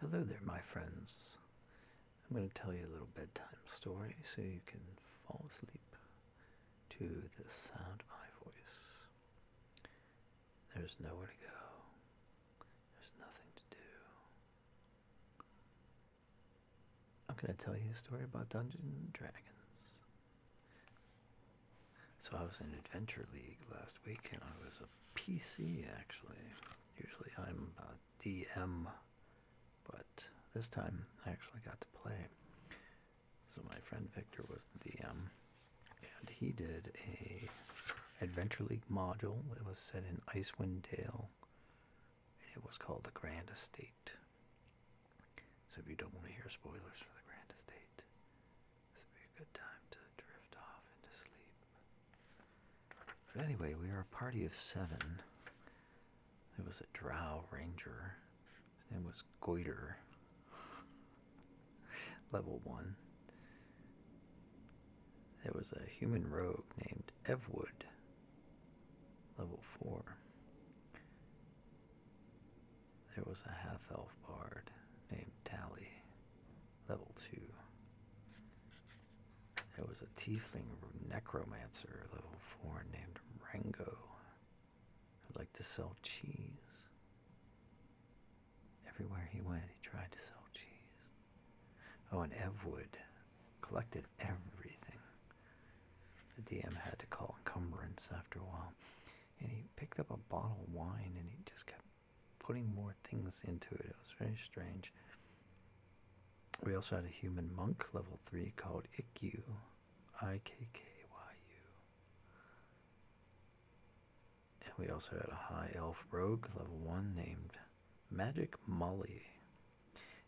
Hello there, my friends. I'm going to tell you a little bedtime story so you can fall asleep to the sound of my voice. There's nowhere to go, there's nothing to do. I'm going to tell you a story about Dungeons and Dragons. So, I was in Adventure League last week and I was a PC actually. Usually I'm a uh, DM, but this time I actually got to play. So my friend Victor was the DM, and he did a Adventure League module. It was set in Icewind Dale, and it was called The Grand Estate. So if you don't want to hear spoilers for The Grand Estate, this would be good time to drift off into sleep. But anyway, we were a party of seven. There was a drow ranger. His name was Goiter. Level 1. There was a human rogue named Evwood. Level 4. There was a half elf bard named Tally. Level 2. There was a tiefling necromancer, level 4, named Rango. I'd like to sell cheese. Everywhere he went, he tried to sell cheese. Oh, and Evwood collected everything. The DM had to call encumbrance after a while. And he picked up a bottle of wine and he just kept putting more things into it. It was very strange. We also had a human monk level 3 called Ikku, I K K Y U. And we also had a high elf rogue level 1 named Magic Molly.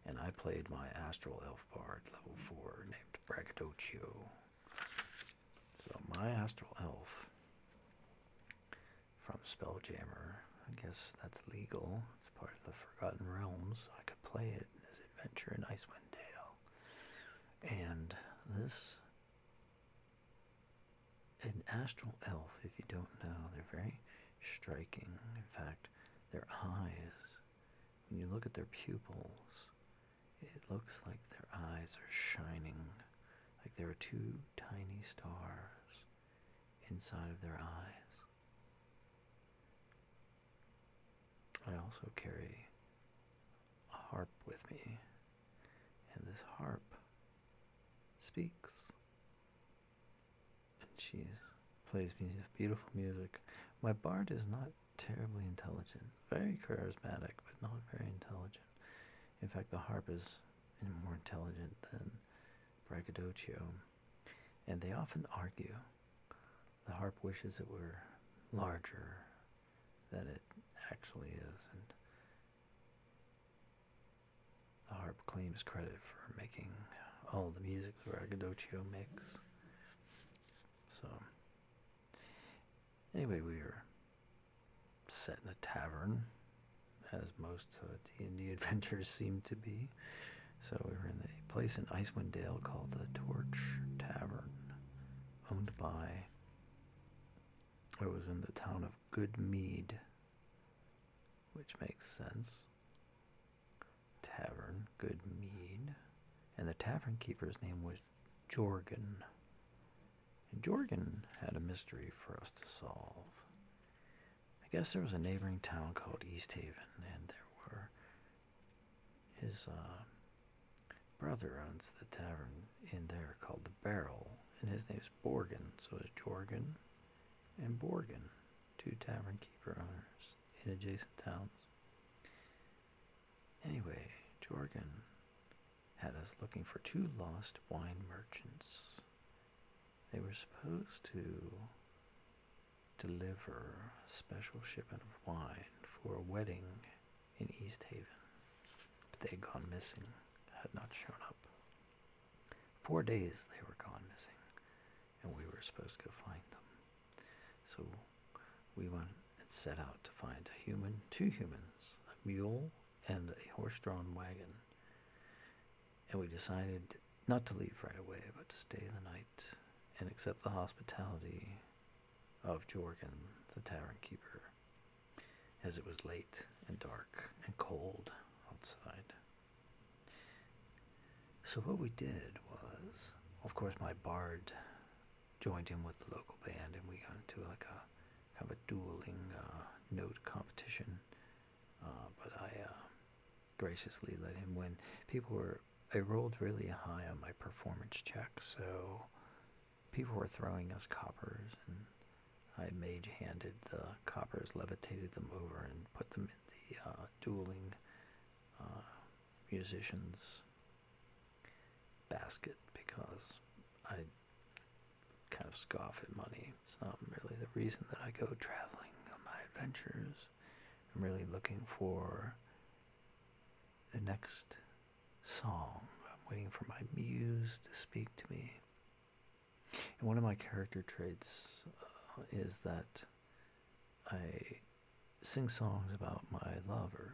And I played my astral elf bard level 4 named Braggadocio. So my astral elf from Spelljammer. I guess that's legal. It's part of the Forgotten Realms. I could play it as Adventure in Icewind Dale. And this, an astral elf, if you don't know, they're very striking. In fact, their eyes, when you look at their pupils, it looks like their eyes are shining like there are two tiny stars inside of their eyes. I also carry a harp with me, and this harp speaks. And she plays beautiful music. My bard is not terribly intelligent, very charismatic, but not very intelligent. In fact, the harp is more intelligent than braggadocio, and they often argue. The harp wishes it were larger than it actually is, and the harp claims credit for making all the music that braggadocio makes. So, anyway, we are set in a tavern, as most D&D adventures seem to be. So we were in a place in Icewind Dale called the Torch Tavern, owned by. It was in the town of Good Mead. which makes sense. Tavern, Good Mead, and the tavern keeper's name was Jorgen. And Jorgen had a mystery for us to solve. I guess there was a neighboring town called East Haven, and there were his uh, brother owns the tavern in there called the Barrel, and his name is Borgen, so it's Jorgen and Borgin, two tavern keeper owners in adjacent towns. Anyway, Jorgen had us looking for two lost wine merchants. They were supposed to deliver a special shipment of wine for a wedding in East Haven, but they had gone missing, had not shown up. Four days they were gone missing, and we were supposed to go find them. So we went and set out to find a human, two humans, a mule and a horse-drawn wagon, and we decided not to leave right away, but to stay the night and accept the hospitality of Jorgen, the tavern keeper, as it was late and dark and cold outside. So what we did was, of course, my bard joined in with the local band, and we got into like a kind of a dueling uh, note competition, uh, but I uh, graciously let him win. People were I rolled really high on my performance check, so people were throwing us coppers, and I mage handed the coppers, levitated them over, and put them in the dueling musicians basket because I kind of scoff at money. It's not really the reason that I go traveling on my adventures. I'm really looking for the next song. I'm waiting for my muse to speak to me. And one of my character traits uh, is that I sing songs about my lovers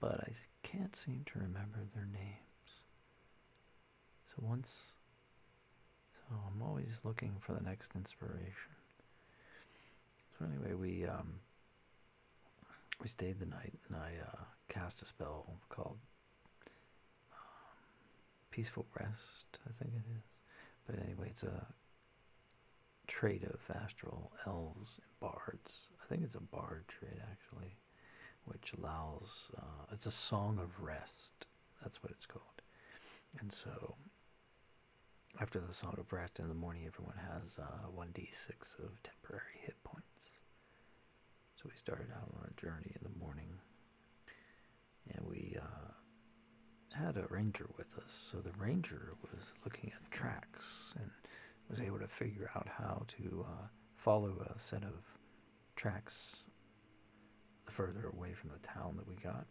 but I can't seem to remember their names. So once, so I'm always looking for the next inspiration. So anyway, we um, we stayed the night, and I uh, cast a spell called um, Peaceful Rest, I think it is. But anyway, it's a trade of astral elves and bards. I think it's a bard trade actually which allows uh, it's a song of rest. That's what it's called. And so, after the song of rest in the morning, everyone has 1d6 uh, of temporary hit points. So, we started out on a journey in the morning and we uh, had a ranger with us. So, the ranger was looking at tracks and was able to figure out how to follow a set of tracks the further away from the town that we got.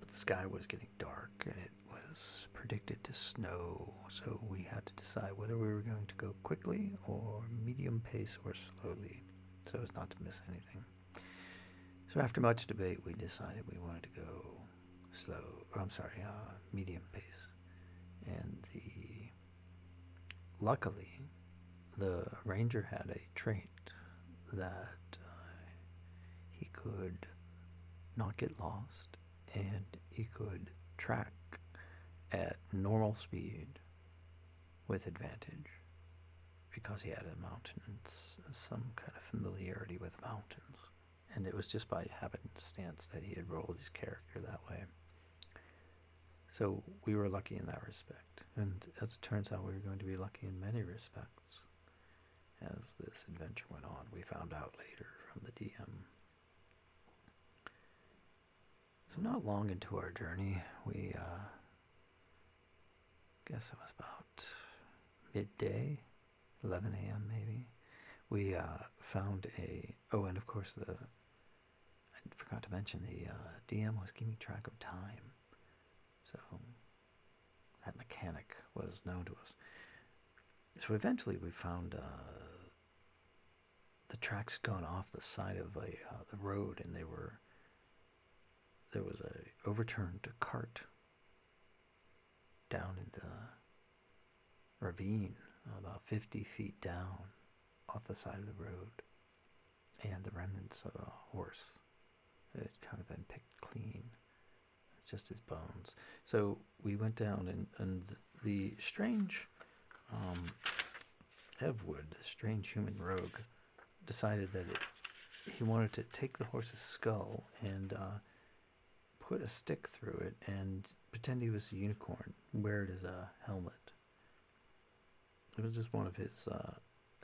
But the sky was getting dark and it was predicted to snow, so we had to decide whether we were going to go quickly or medium pace or slowly so as not to miss anything. So after much debate, we decided we wanted to go slow, or I'm sorry, uh, medium pace and the luckily the ranger had a trait that uh, he could not get lost and he could track at normal speed with advantage because he had a mountain some kind of familiarity with mountains and it was just by habit and stance that he had rolled his character that way. So we were lucky in that respect, and as it turns out, we were going to be lucky in many respects. As this adventure went on, we found out later from the DM. So not long into our journey, we uh, guess it was about midday, 11 a.m. maybe. We uh, found a Oh, and of course the I forgot to mention the uh, DM was keeping track of time, so that mechanic was known to us. So eventually, we found uh, the tracks gone off the side of a uh, the road, and they were there was a overturned cart down in the ravine about 50 feet down off the side of the road and the remnants of a horse it had kind of been picked clean just his bones so we went down and, and the strange um, evwood the strange human rogue decided that he wanted to take the horse's skull and uh, put a stick through it and pretend he was a unicorn, wear it as a helmet. It was just one of his uh,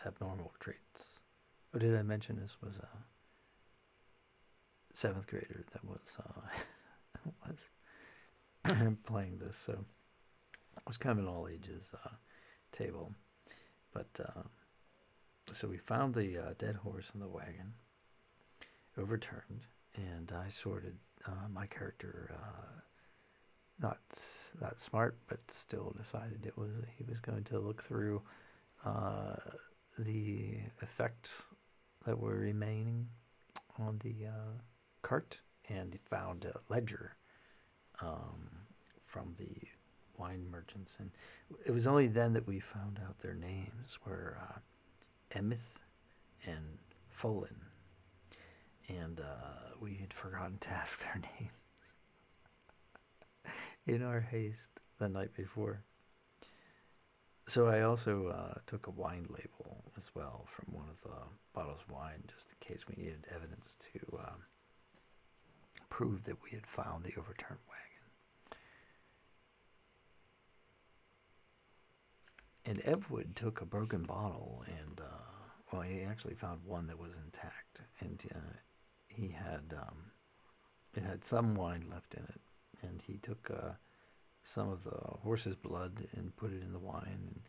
abnormal traits. Oh, did I mention this was a seventh grader that was uh, playing this? So it was kind of an all ages uh, table, but um, so we found the uh, dead horse in the wagon overturned and I sorted uh, my character uh, not that smart but still decided it was he was going to look through uh, the effects that were remaining on the cart and found a ledger um, from the wine merchants and it was only then that we found out their names were Emith and Folin. And uh, we had forgotten to ask their names in our haste the night before. So I also uh, took a wine label as well from one of the bottles of wine, just in case we needed evidence to um, prove that we had found the overturned wagon. And Evwood took a broken bottle and, uh, well, he actually found one that was intact. And uh, he had, um, had some wine left in it. And he took uh, some of the horse's blood and put it in the wine.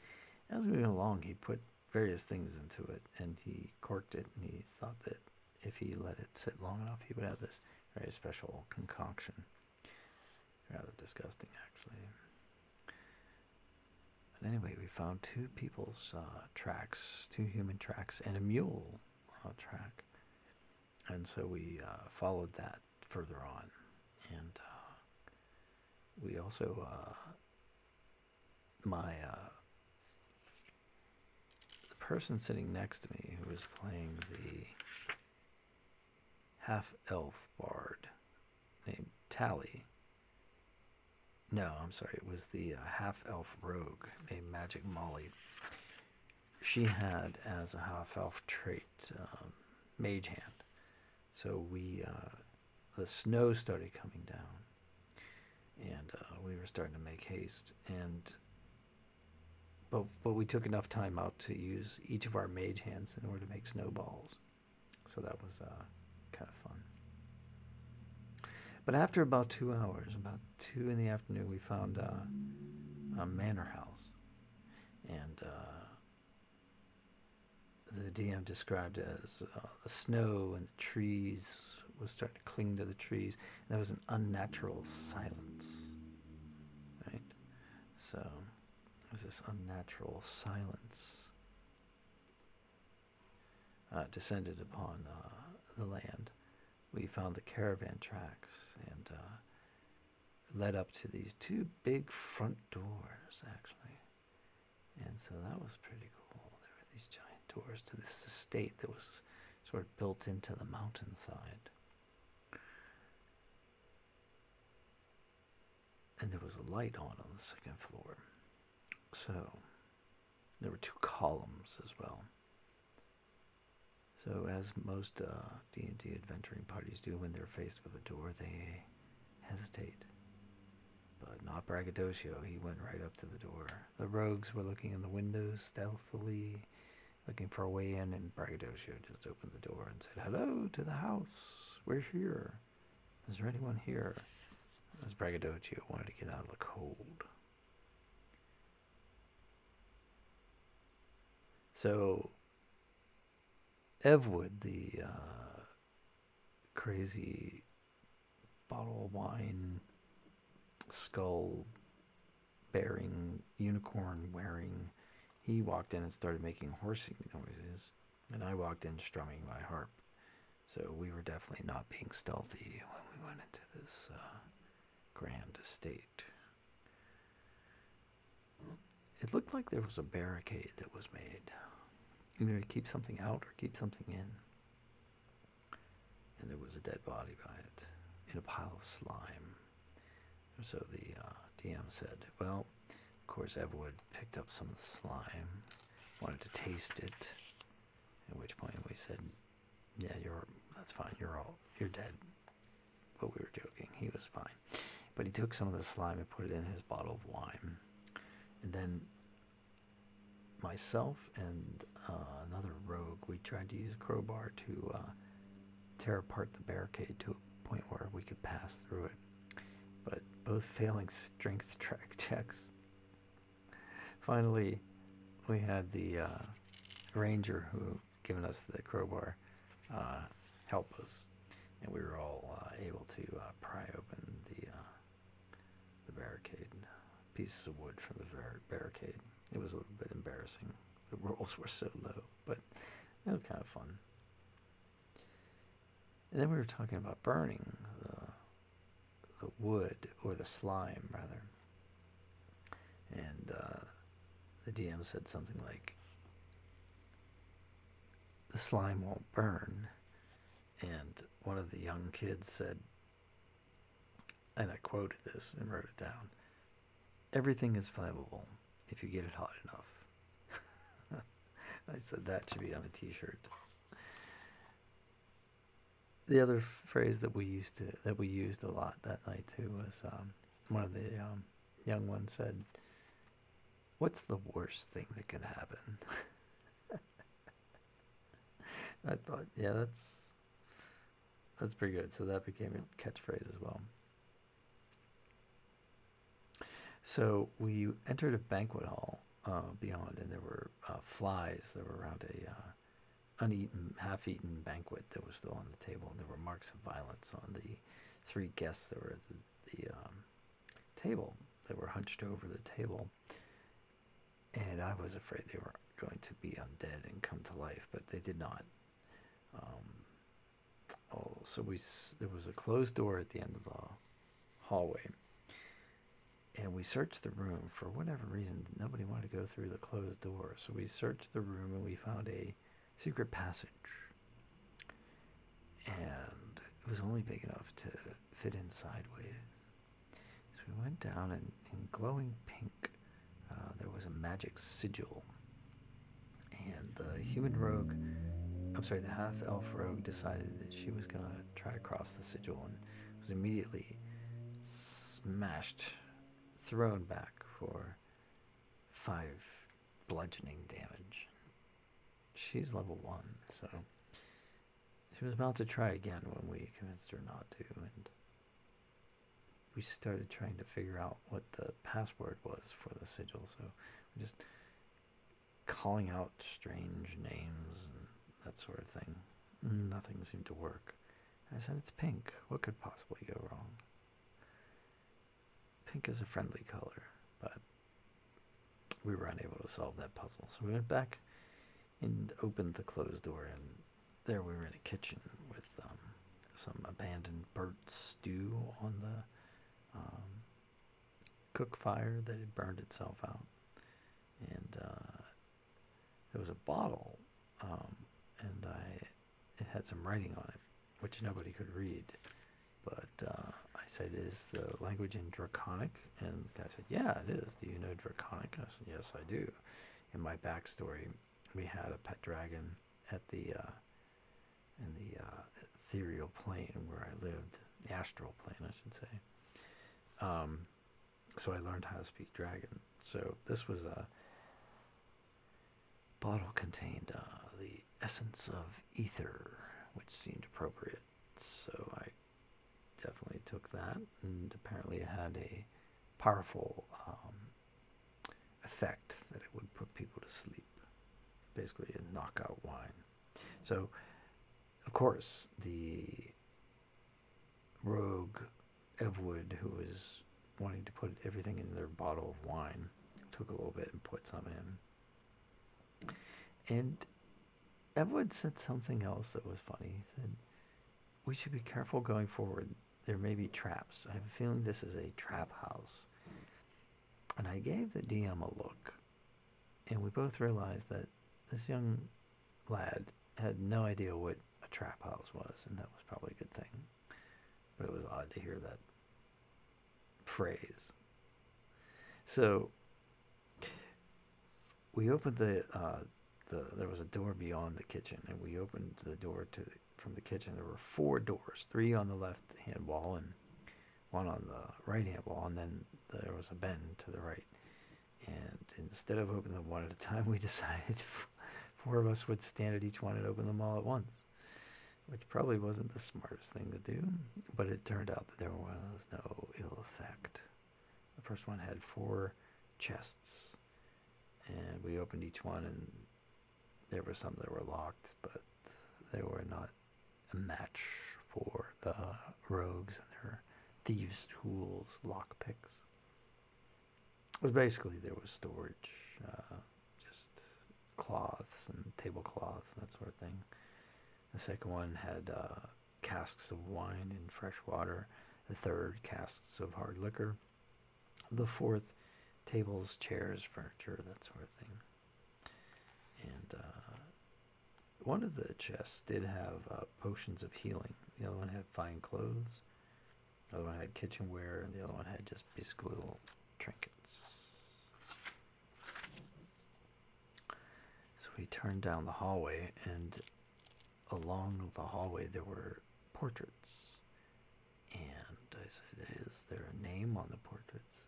And as we went along, he put various things into it. And he corked it. And he thought that if he let it sit long enough, he would have this very special concoction. Rather disgusting, actually. But anyway, we found two people's uh, tracks, two human tracks, and a mule uh, track. And so we uh, followed that further on. And we also, my, the person sitting next to me who was playing the half elf bard named Tally. No, I'm sorry, it was the uh, half elf rogue named Magic Molly. She had as a half elf trait um, Mage Hand. So we, uh, the snow started coming down and uh, we were starting to make haste. And but, but we took enough time out to use each of our mage hands in order to make snowballs. So that was uh, kind of fun. But after about two hours, about two in the afternoon, we found uh, a manor house. And uh, the DM described as the snow and the trees was starting to cling to the trees. And there was an unnatural silence. Right? So, is this unnatural silence uh, descended upon uh, the land? We found the caravan tracks and uh, led up to these two big front doors, actually. And so that was pretty cool. There were these giant doors to this estate that was sort of built into the mountainside and there was a light on on the second floor. So there were two columns as well. So as most D&D uh, adventuring parties do when they're faced with a door, they hesitate. But not Braggadocio, he went right up to the door. The rogues were looking in the windows stealthily, looking for a way in, and Braggadocio just opened the door and said, Hello to the house. We're here. Is there anyone here? As Braggadocio wanted to get out of the cold. So, Evwood, the uh, crazy bottle wine skull bearing, unicorn wearing. He walked in and started making horsing noises, and I walked in strumming my harp. So we were definitely not being stealthy when we went into this uh, grand estate. It looked like there was a barricade that was made, either to keep something out or keep something in. And there was a dead body by it in a pile of slime. So the uh, DM said, well, of course, Everwood picked up some of the slime, wanted to taste it, at which point we said, yeah, you're, that's fine, you're all, you're dead. But we were joking, he was fine. But he took some of the slime and put it in his bottle of wine. And then myself and uh, another rogue, we tried to use a crowbar to uh, tear apart the barricade to a point where we could pass through it, but both failing strength track checks. Finally, we had the uh, ranger who given us the crowbar uh, help us, and we were all uh, able to pry open the the barricade, pieces of wood from the barricade. It was a little bit embarrassing. The rolls were so low but that was kind of fun. And then we were talking about burning the, the wood or the slime rather. And uh, the DM said something like, "The slime won't burn," and one of the young kids said, and I quoted this and wrote it down. Everything is flammable if you get it hot enough. I said that should be on a t shirt. The other phrase that we used that we used a lot that night too was um, one of the um, young ones said, "What's the worst thing that can happen?" I thought, yeah, that's that's pretty good. So that became a catchphrase as well. So we entered a banquet hall uh, beyond, and there were uh, flies that were around a uh, uneaten, half-eaten banquet that was still on the table. And there were marks of violence on the three guests that were at the, um, table They were hunched over the table. And I was afraid they were going to be undead and come to life, but they did not. Um, oh, so we there was a closed door at the end of the hallway, and we searched the room for whatever reason. Nobody wanted to go through the closed door, so we searched the room and we found a secret passage. And it was only big enough to fit in sideways. So we went down, and in glowing pink uh, there was a magic sigil, and the human rogue, I'm sorry, the half elf rogue decided that she was gonna try to cross the sigil and was immediately smashed, thrown back for five bludgeoning damage. She's level one, so she was about to try again when we convinced her not to, we started trying to figure out what the password was for the sigil. So we're just calling out strange names and that sort of thing. Nothing seemed to work. I said, it's pink. What could possibly go wrong? Pink is a friendly color, but we were unable to solve that puzzle. So we went back and opened the closed door and there we were in a kitchen with um, some abandoned burnt stew on the um, cook fire that had burned itself out, and uh, there was a bottle, um, and I it had some writing on it, which nobody could read. But uh, I said, "Is the language in Draconic?" And the guy said, "Yeah, it is. Do you know Draconic?" I said, "Yes, I do." In my backstory, we had a pet dragon at the uh, in the uh, ethereal plane where I lived, the astral plane, I should say. Um, so I learned how to speak dragon. So this was a bottle contained uh, the essence of ether, which seemed appropriate. So I definitely took that, and apparently it had a powerful um, effect that it would put people to sleep, basically a knockout wine. So, of course, the rogue Evwood, who was wanting to put everything in their bottle of wine, took a little bit and put some in. And Evwood said something else that was funny. He said, We should be careful going forward there may be traps. I have a feeling this is a trap house. And I gave the DM a look, and we both realized that this young lad had no idea what a trap house was, and that was probably a good thing. But it was odd to hear that phrase. So we opened the, uh, the there was a door beyond the kitchen, and we opened the door to from the kitchen, there were four doors, three on the left hand wall and one on the right hand wall, and then there was a bend to the right. And instead of opening them one at a time, we decided four of us would stand at each one and open them all at once, which probably wasn't the smartest thing to do, but it turned out that there was no ill effect. The first one had four chests, and we opened each one, and there were some that were locked, but they were not a match for the rogues and their thieves' tools, lockpicks. was basically there was storage, uh, just cloths and tablecloths and that sort of thing. The second one had uh, casks of wine and fresh water. The third, casks of hard liquor the fourth tables chairs furniture that sort of thing and uh, one of the chests did have uh, potions of healing the other one had fine clothes the other one had kitchenware and the other one had just basically little trinkets so we turned down the hallway and along the hallway there were portraits and I said, Is there a name on the portraits?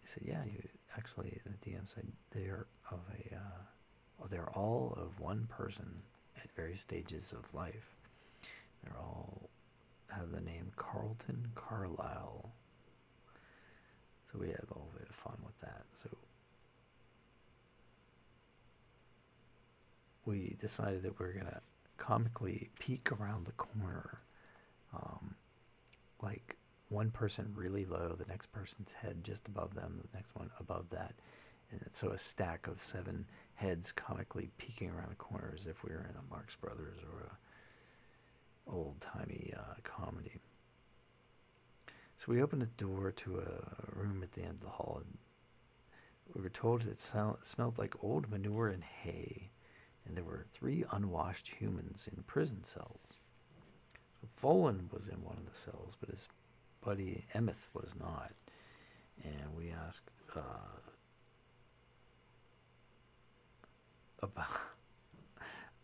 he said, Yeah, you actually, the DM said, They are of a, uh, they're all of one person at various stages of life. They're all have the name Carlton Carlyle. So we had a little bit of fun with that. So we decided that we we're gonna comically peek around the corner, um, like one person really low, the next person's head just above them, the next one above that, and so a stack of seven heads comically peeking around the corner as if we were in a Marx Brothers or a old timey uh, comedy. So we opened a door to a room at the end of the hall we were told it smelled like old manure and hay, and there were three unwashed humans in prison cells. So was in one of the cells, but his buddy Emeth was not. And we asked uh, about.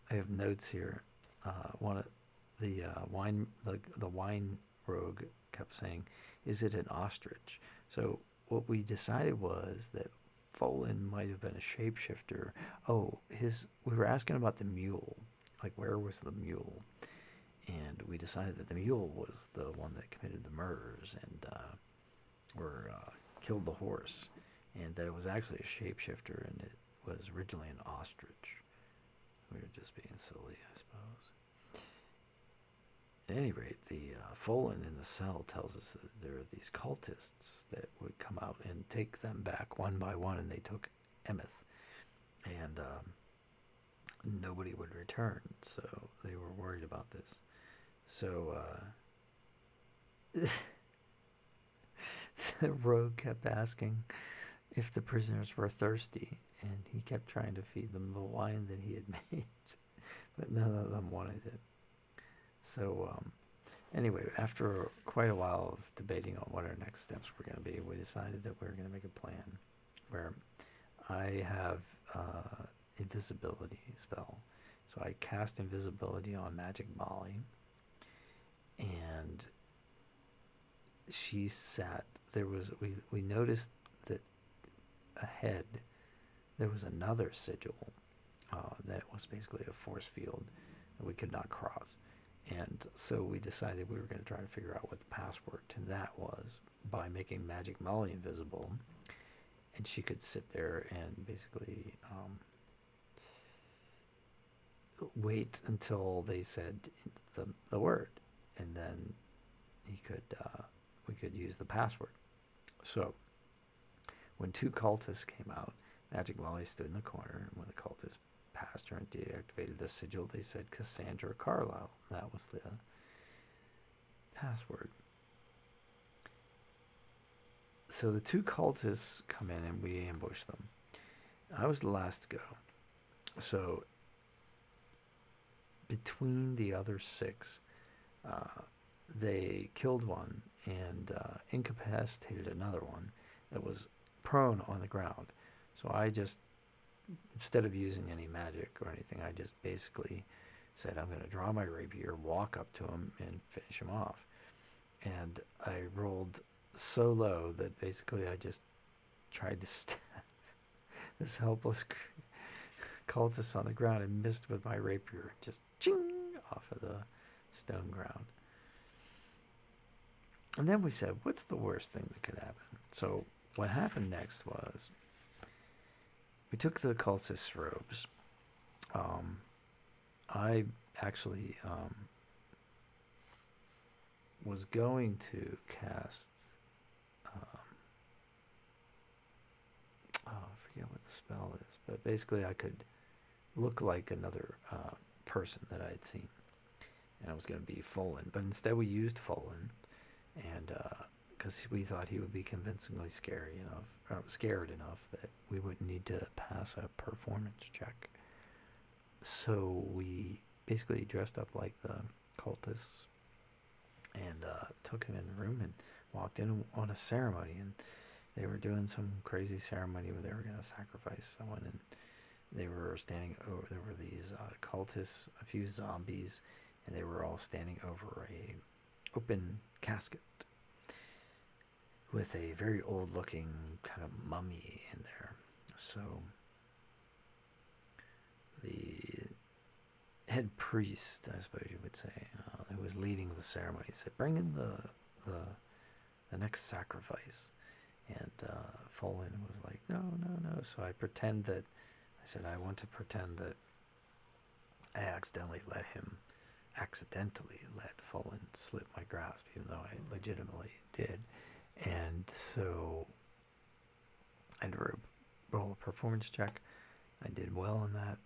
I have notes here. Uh, one of the uh, wine, the the wine Rogue kept saying, Is it an ostrich? So what we decided was that Folan might have been a shapeshifter. Oh, his we were asking about the mule. Like where was the mule? And we decided that the mule was the one that committed the murders and uh, or uh, killed the horse, and that it was actually a shapeshifter, and it was originally an ostrich. We were just being silly, I suppose. At any rate, the uh, in the cell tells us that there are these cultists that would come out and take them back one by one, and they took Emeth, and um, nobody would return, so they were worried about this. So uh, the rogue kept asking if the prisoners were thirsty, and he kept trying to feed them the wine that he had made, but none of them wanted it. So, um, anyway, after quite a while of debating on what our next steps were going to be, we decided that we were going to make a plan where I have uh, invisibility spell. So I cast invisibility on Magic Molly, and she sat there was we we noticed that ahead there was another sigil uh, that was basically a force field that we could not cross and so we decided we were going to try to figure out what the password to that was by making magic molly invisible and she could sit there and basically um, wait until they said the, the word and then he could uh, we could use the password. So when two cultists came out, Magic Molly stood in the corner, and when the cultists passed her and deactivated the sigil, they said Cassandra Carlyle. That was the password. So the two cultists come in and we ambush them. I was the last to go. So between the other six. Uh, they killed one and uh, incapacitated another one that was prone on the ground. So I just, instead of using any magic or anything, I just basically said, I'm going to draw my rapier, walk up to him, and finish him off. And I rolled so low that basically I just tried to this helpless cultist on the ground and missed with my rapier. Just ching off of the stone ground. And then we said, what's the worst thing that could happen? So what happened next was we took the cultist's robes. Um, I actually um, was going to cast um, oh, I forget what the spell is, but basically I could look like another uh, person that I had seen, and I was going to be Folan, but instead we used Folan, and because uh, we thought he would be convincingly scary enough, uh, scared enough that we wouldn't need to pass a performance check. So we basically dressed up like the cultists and uh, took him in the room and walked in on a ceremony and they were doing some crazy ceremony where they were going to sacrifice someone and they were standing over there were these uh, cultists a few zombies and they were all standing over a open casket with a very old looking kind of mummy in there so the head priest, I suppose you would say, uh, who was leading the ceremony, said, "Bring in the the, the next sacrifice." And uh, Folin was like, "No, no, no." So I pretend that I said I want to pretend that I accidentally let him, accidentally let Folin slip my grasp, even though I legitimately did. And so I a roll of performance check. I did well on that.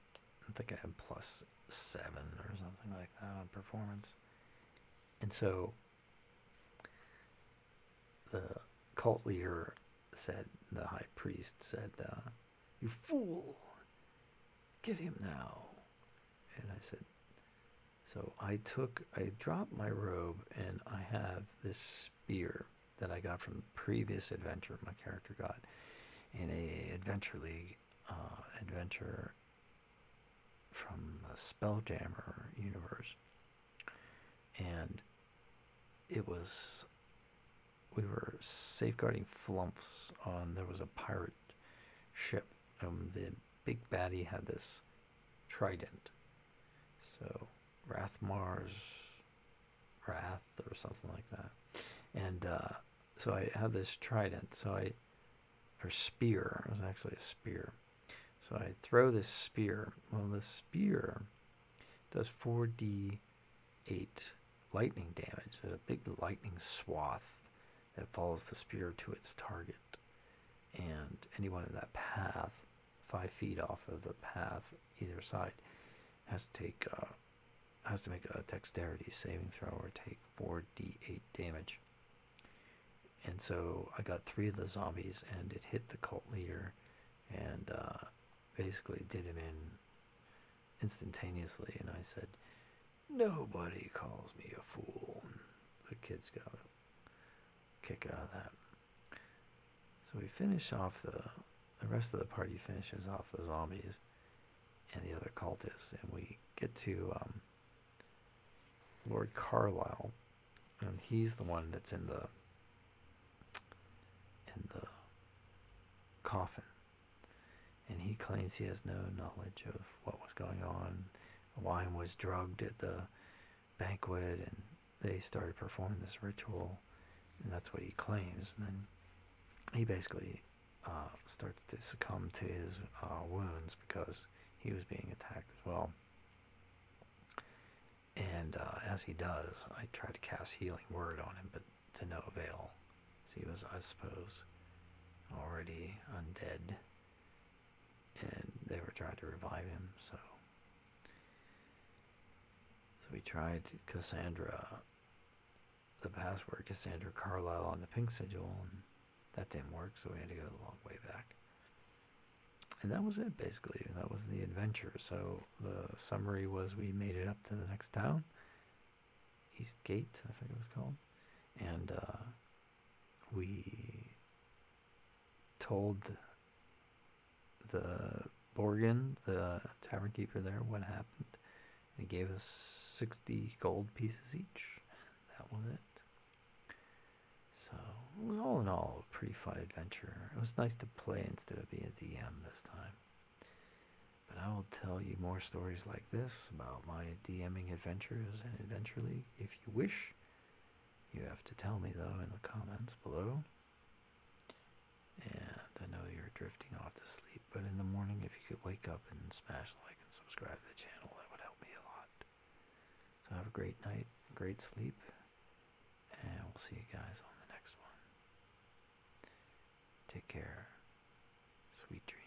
I think I had plus seven or something like that on performance. And so the cult leader said, the high priest said, uh, You fool! Get him now. And I said, So I took, I dropped my robe and I have this Beer that I got from previous adventure my character got in a adventure league uh, adventure from the Spelljammer universe, and it was we were safeguarding flumps on there was a pirate ship. and um, the big baddie had this trident so Rathmar's Wrath or something like that. And uh, so I have this trident. So I, or spear. It was actually a spear. So I throw this spear. Well, the spear does 4d8 lightning damage. a big lightning swath that follows the spear to its target. And anyone in that path five feet off of the path either side has to take uh, has to make a dexterity saving throw or take 4d8 damage and so i got three of the zombies and it hit the cult leader and uh, basically did him in instantaneously and i said nobody calls me a fool the kid's got it kick out of that. So we finish off the the rest of the party finishes off the zombies and the other cultists, and we get to um, Lord Carlisle, and he's the one that's in the in the coffin, and he claims he has no knowledge of what was going on. why he was drugged at the banquet and they started performing this ritual and that's what he claims and then he basically uh, starts to succumb to his uh, wounds because he was being attacked as well and uh, as he does i try to cast healing word on him but to no avail so he was i suppose already undead and they were trying to revive him so so we tried Cassandra, the password Cassandra Carlisle on the pink sigil, and that didn't work, so we had to go a long way back. And that was it, basically. That was the adventure. So the summary was we made it up to the next town, East Gate, I think it was called, and uh, we told the Borgin, the tavern keeper there, what happened. And he gave us 60 gold pieces each. That was it. So it was all in all a pretty fun adventure. It was nice to play instead of being DM this time. But I will tell you more stories like this about my DMing adventures and eventually, if you wish. You have to tell me though in the comments below. And I know you're drifting off to sleep, but in the morning, if you could wake up and smash like and subscribe to the channel, that would help me a lot. So have a great night, great sleep, and we'll see you guys on the next one. Take care. Sweet dreams.